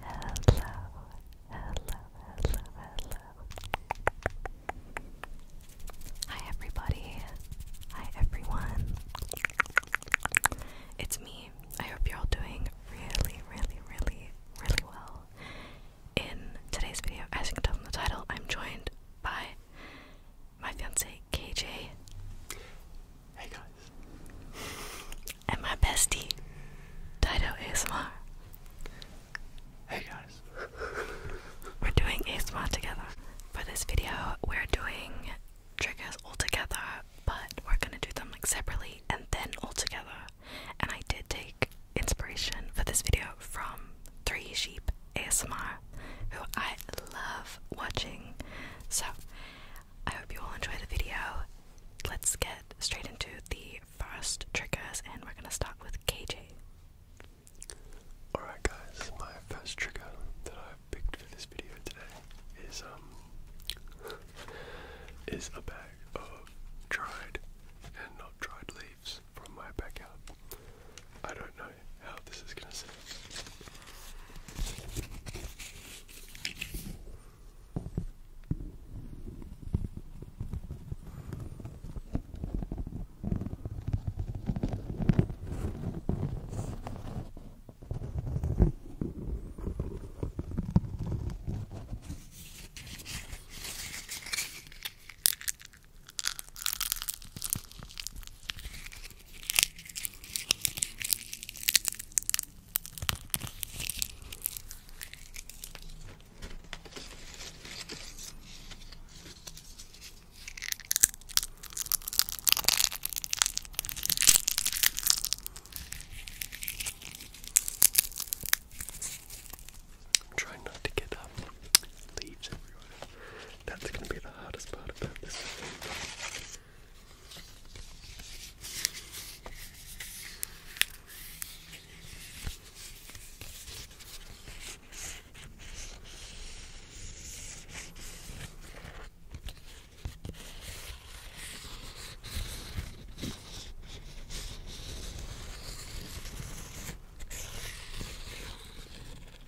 hello, hello, hello. Hi, everybody. Hi, everyone. It's me. I hope you're all doing really, really, really, really well. In today's video, as you can tell from the title, I'm joined by my fiance KJ. Hey guys. And my bestie, Dido ASMR. Hey guys. We're doing ASMR together. For this video, we're doing triggers all together, but we're gonna do them like separately and then all together. And I did take inspiration for this video from Three Sheep ASMR, who I love watching. So, I hope you all enjoy the video. Let's get straight into the first triggers, and we're gonna start with KJ. Alright, guys, my first trigger that I've picked for this video today is um is a bag of dried and not dried leaves from my backyard. I don't know how this is going to sound. I'm trying not to get up um, leaves everywhere. That's gonna be the hardest part about this.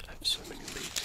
I have so many readings.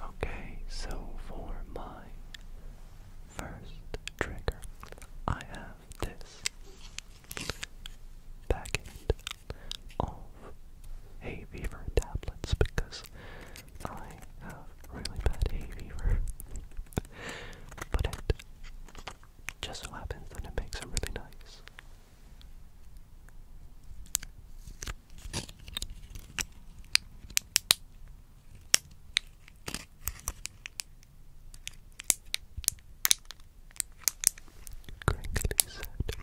Okay, so for my first trigger, I have this packet of hay fever tablets because I have really bad hay fever. but it just so happens that it makes a really nice Crinkly said, click.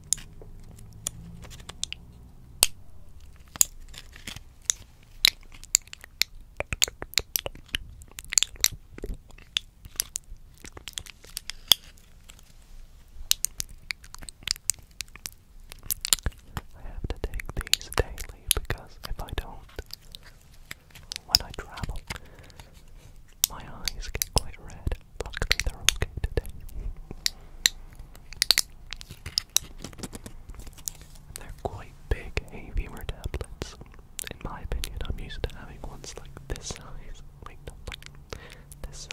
I have to take these daily because if I don't, when I travel, my eyes get quite red. Luckily, they're okay today. they're quite big hay-beamer tablets. In my opinion, I'm used to having ones like this size. Wait, not like this size.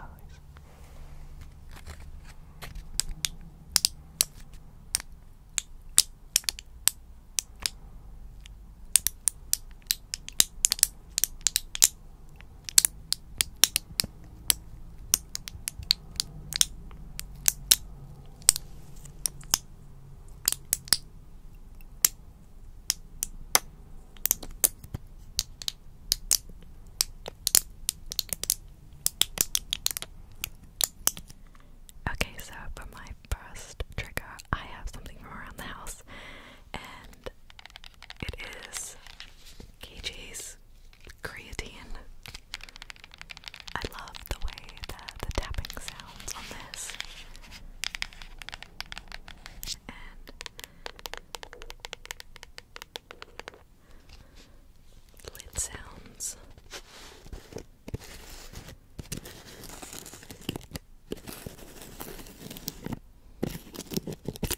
Okay, so for my first trigger, I have something from around the house, and it is KJ's creatine. I love the way that the tapping sounds on this. And lid sounds.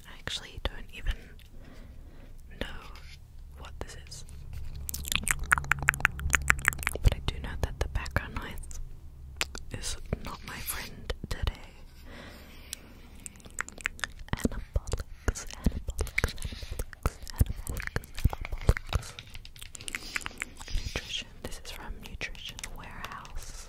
I actually don't even know what this is, but I do know that the background noise is not my friend today. Nutrition. This is from Nutrition Warehouse.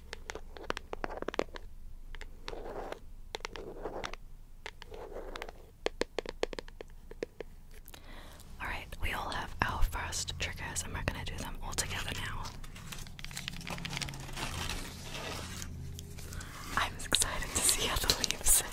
Alright, we all have our first triggers and we're going to do them all together now. I'm excited to see how the leaves sound.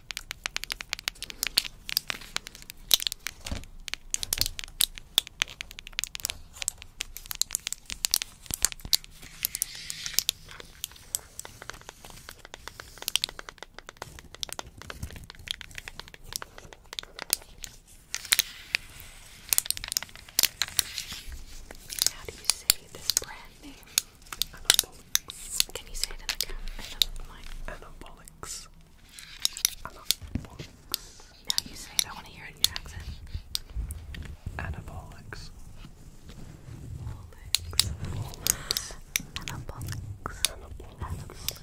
How do you say this brand name? I don't know can you say it in the camera? Anabolics. Now you say it. I want to hear it in your accent. Anabolics. Anabolics. Anabolics. Anabolics.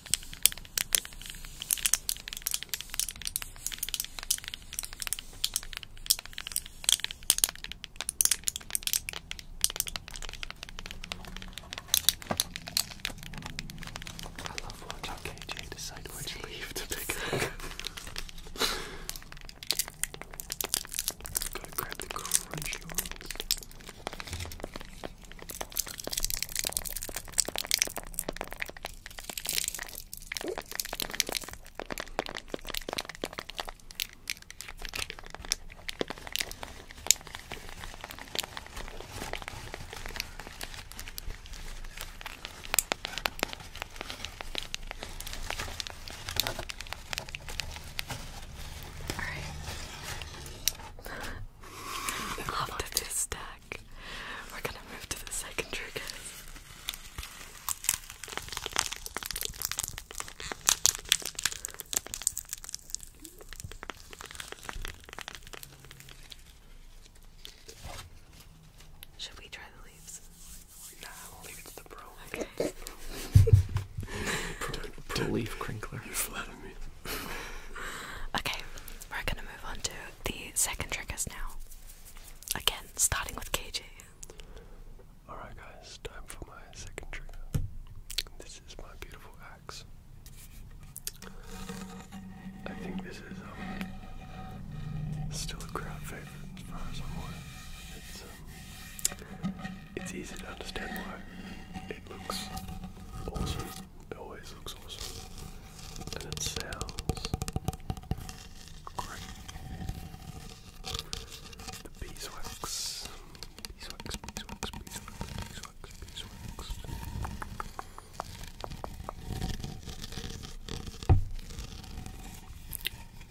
I love watching KJ decide which leaf to pick up. Gotta grab the crunchy ones. All right. After this step, we're gonna move to the second trigger. Should we try the leaves? Nah, I'll leave it to the pro. Okay. leaf crinkler. You're flatting me. okay, we're gonna move on to the second trick is now. Again, starting with KJ. Alright, guys, time for my second trigger. This is my beautiful axe. I think this is um, still a crowd favorite as far as I'm aware. it's um, easy to understand why. It looks awesome. It always looks awesome. And it sounds great. The beeswax. Beeswax, beeswax, beeswax, beeswax, beeswax.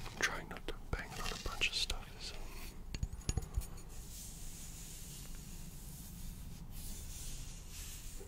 I'm trying not to bang on a bunch of stuff.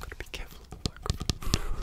Gotta be careful with the microphone.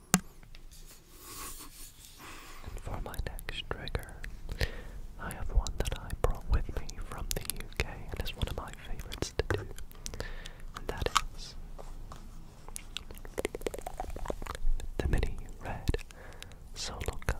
And for my next trigger, I have one that I brought with me from the UK and it's one of my favorites to do. And that is the mini red solo cups.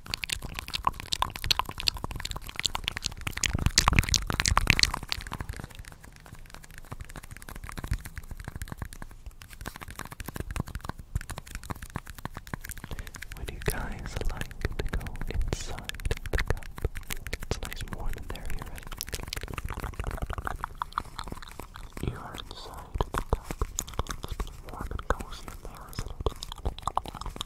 Would you guys like to go inside It's nice warm in there, you're inside It's warm and cozy in there,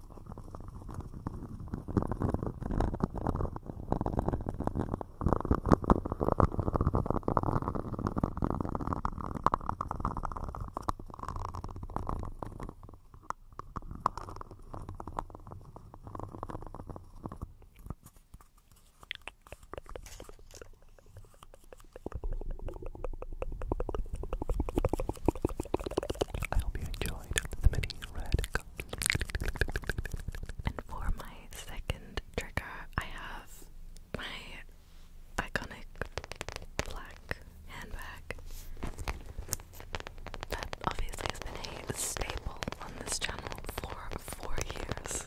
I hope you enjoyed the mini red and for my second trigger, I have my iconic black handbag that obviously has been a staple on this channel for four years.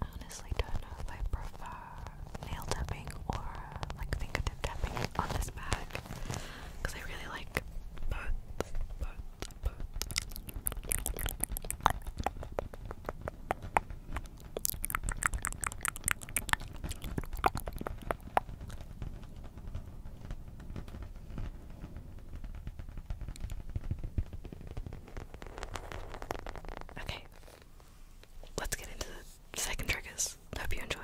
I honestly don't know if I prefer nail tapping or like fingertip tapping on this bag because I really like both. Okay, let's get into the second trick. triggers. Hope you enjoy.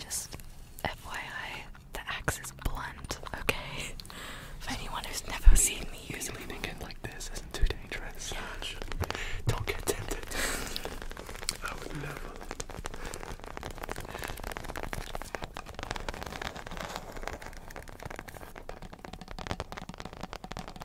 Just FYI, the axe is blunt, okay? For anyone who's never seen me use leaving it like this isn't too dangerous. Don't get tempted.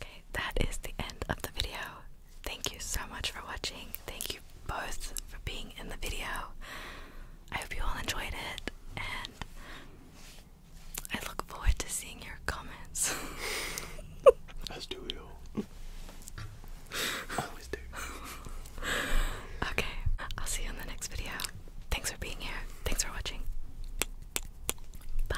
Okay, that is the end of the video thank you so much for watching. Thank you both for being in the video. I hope you all enjoyed it, and I look forward to seeing your comments. As do you. always do. Okay, I'll see you in the next video. Thanks for being here. Thanks for watching. Bye.